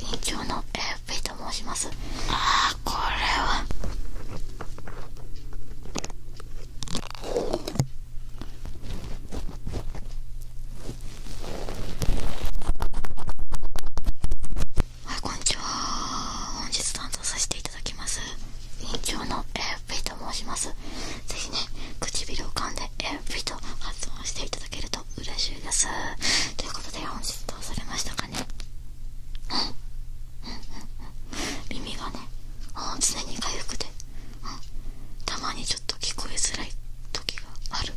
院長のエフピと申しますああこれははいこんにちは本日担当させていただきます院長のエフピと申しますぜひね唇を噛んでエフピと発音していただけるとと嬉しいですということで本日どうされましたかね耳がねあ常に回復で、うたまにちょっと聞こえづらい時がある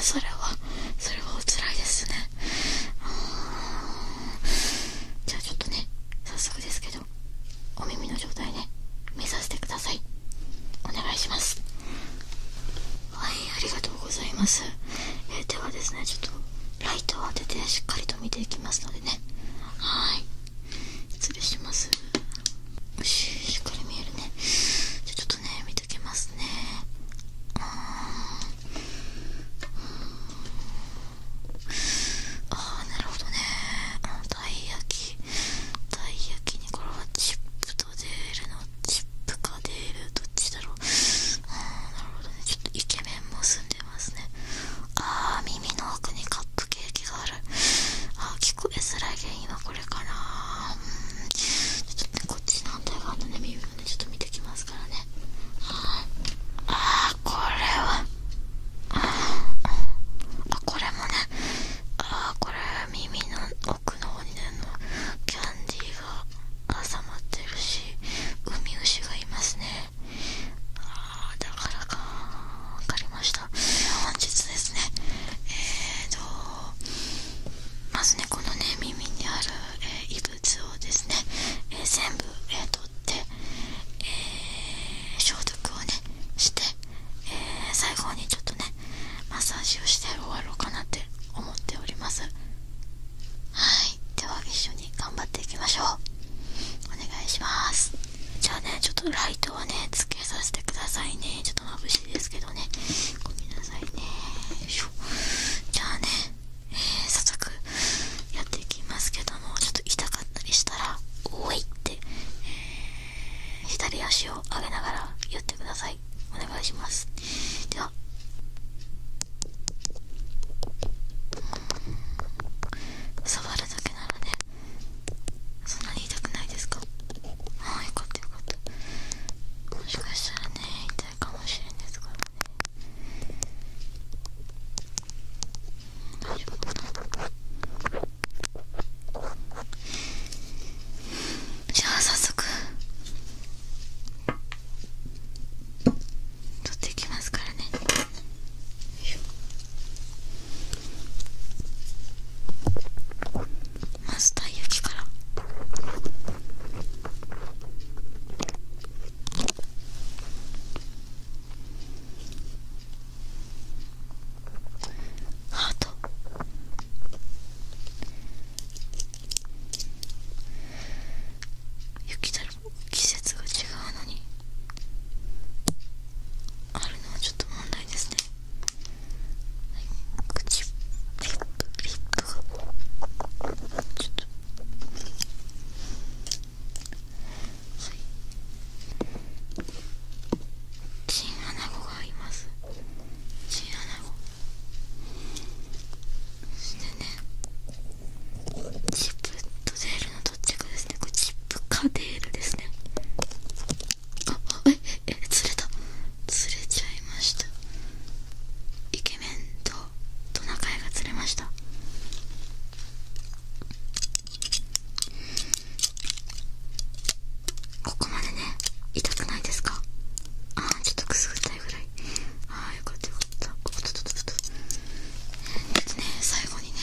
それはそれはおつらいですねじゃあちょっとね早速ですけどお耳の状態ね目指してくださいお願いしますはいありがとうございます、えではですねちょっとライトを当ててしっかりと見ていきますのでねはい失礼しますよししっかり見えるねじゃちょっとね見ときますねああなるほどねたい焼きたい焼きこれはチップとデールのチップかデールどっちだろうなるほどねちょっとイケメンも住んでますねあー耳の奥にカップケーキがあるああ、聞こえづらい原因はこれかなちょっとねこっちの反対側のね耳もねちょっと見てきますからねああこれはああこれもねああ、これ耳の奥の方にあのキャンディーが挟まってるしウミウシがいますねああだからか分かりました本日ですねえーとまずねこのね耳にある、え異物をですね、え全部、えー、取って、えー、消毒をねして、え最後にちょっとねマッサージをして終わろうかなって思っておりますはいでは一緒に頑張っていきましょうお願いしますじゃあねちょっとライトはねつけさせてくださいねちょっと眩しいですけどねごめんなさいねよいしょじゃあね、早速やっていきますけどもちょっと痛かったりしたら「おい」って、左足を上げながらやってくださいお願いしますでは触るだけなのでそんなに痛くないですかああよかったよかったもしかしたらね痛いかもしれんですからね大丈夫かなじゃあ早速取っていきますからねまずたい焼きから。ハート雪だるも季節が違うのにあるのはちょっと問題ですね口リップリップがちょっとはいチンアナゴがいますチンアナゴそしてねチップとデールのどっちかですねこれチップかデールですねあえええ釣れた釣れちゃいましたイケメンとトナカイが釣れましたここまでね痛くないですかああちょっとくすぐったいぐらいああよかったよかったおっとっとっとっとえっとね最後にね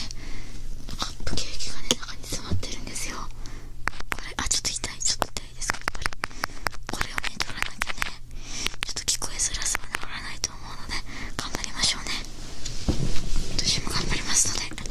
カップケーキがね中に詰まってるんですよこれあちょっと痛いちょっと痛いですやっぱりこれをね取らなきゃねちょっと聞こえづらさは治らないと思頑張りましょうね私も頑張りますので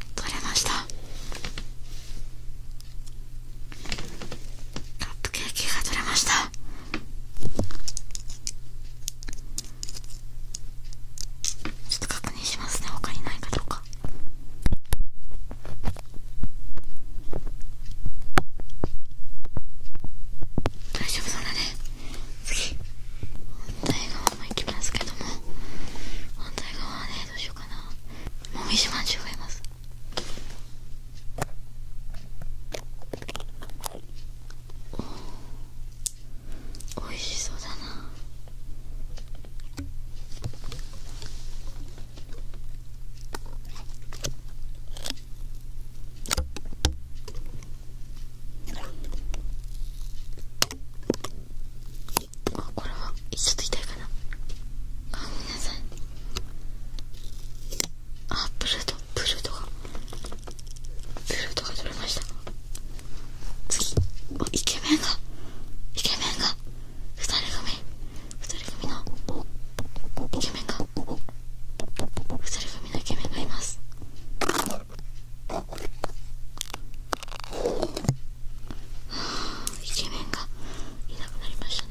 れましたカップケーキが取れましたちょっと確認しますね他にないかどうか大丈夫そうだね次反対側も行きますけども反対側はねどうしようかなもみじまんじゅうますおいしそうだなあこれはちょっと痛いかなあごめんなさいあプルートプルートがプルートが取れました次おイケメンがイケメンが2人組2人組のイケメンが2人組のイケメンがいますイケメンがいなくなりましたね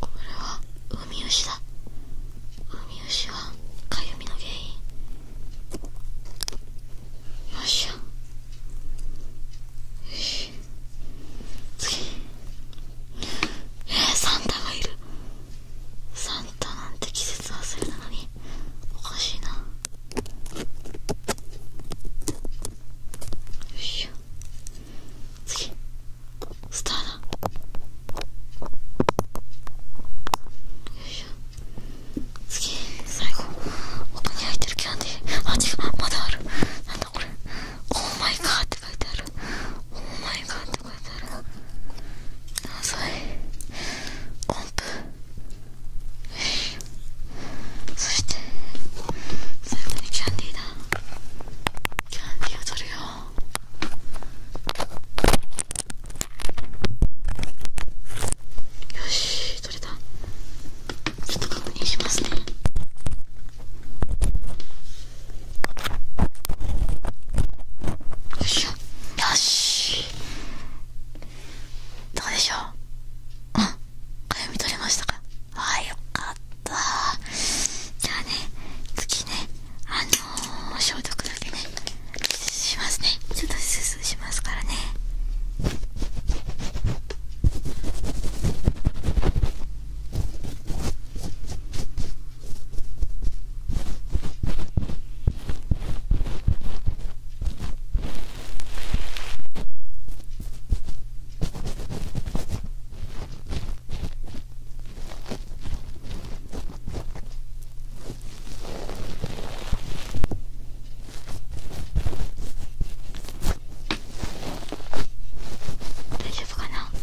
これはウミウシだウミウシはかゆみの原因よっしゃよし次えー、サンタがいるサンタなんて季節忘れなのににおかしいなよいしょ次スターだよいしょ次最後音に入ってるキャンディーあ違うまだあるなんだこれオーマイガーって書いてあるオーマイガーって音符そして最後にキャンディーだキャンディーを取るよよし取れたちょっと確認しますねよいしょよしどうでしょううん読み取れましたかああよかったじゃあね次ねあのー、消毒だけねしますねちょっとスーしますからね大丈夫かな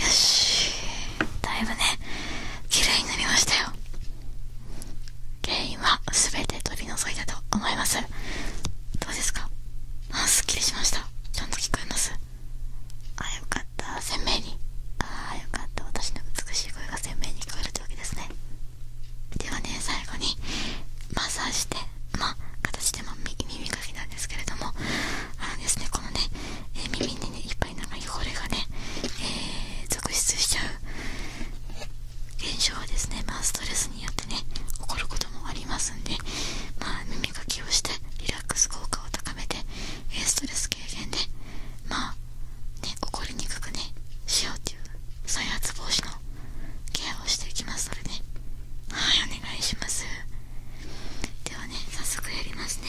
よしだいぶね綺麗になりましたよ原因は全て取り除いたと思いますどうですかあすっきりしましたちゃんと聞こえますああ、よかった鮮明にああよかった私の美しい声が鮮明に聞こえるってわけですねではね最後にマッサージしてまあ形でも耳かきなんですけれどもあのですねこのね、え耳にいっぱいなんか汚れがね、え続出しちゃう現象はですねまあストレスによってね起こることもありますんでまあ耳かきをしてリラックス効果を高めて、えストレス軽減でまあね起こりにくくねしようっていう再発防止のケアをしていきますのでねはいお願いしますではね早速やりますね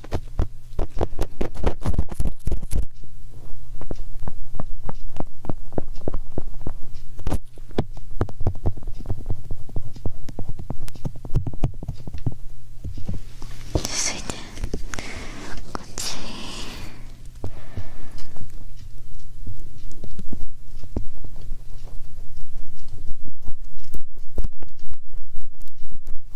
続いてこっち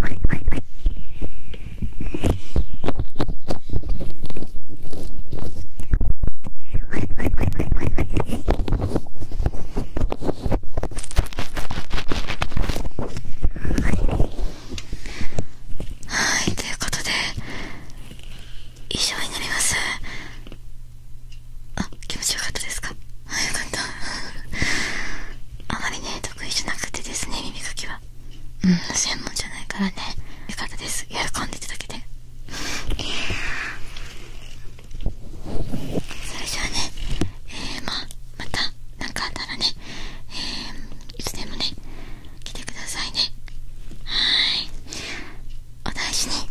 はい、ということで以上になりますあ気持ちよかったですかあよかったあまりね得意じゃなくてですね耳かきはうん専門じゃないからねよかったです喜んでいただけてそれじゃあねえー、まあまた何かあったらねえー、いつでもね来てくださいねはーいお大事に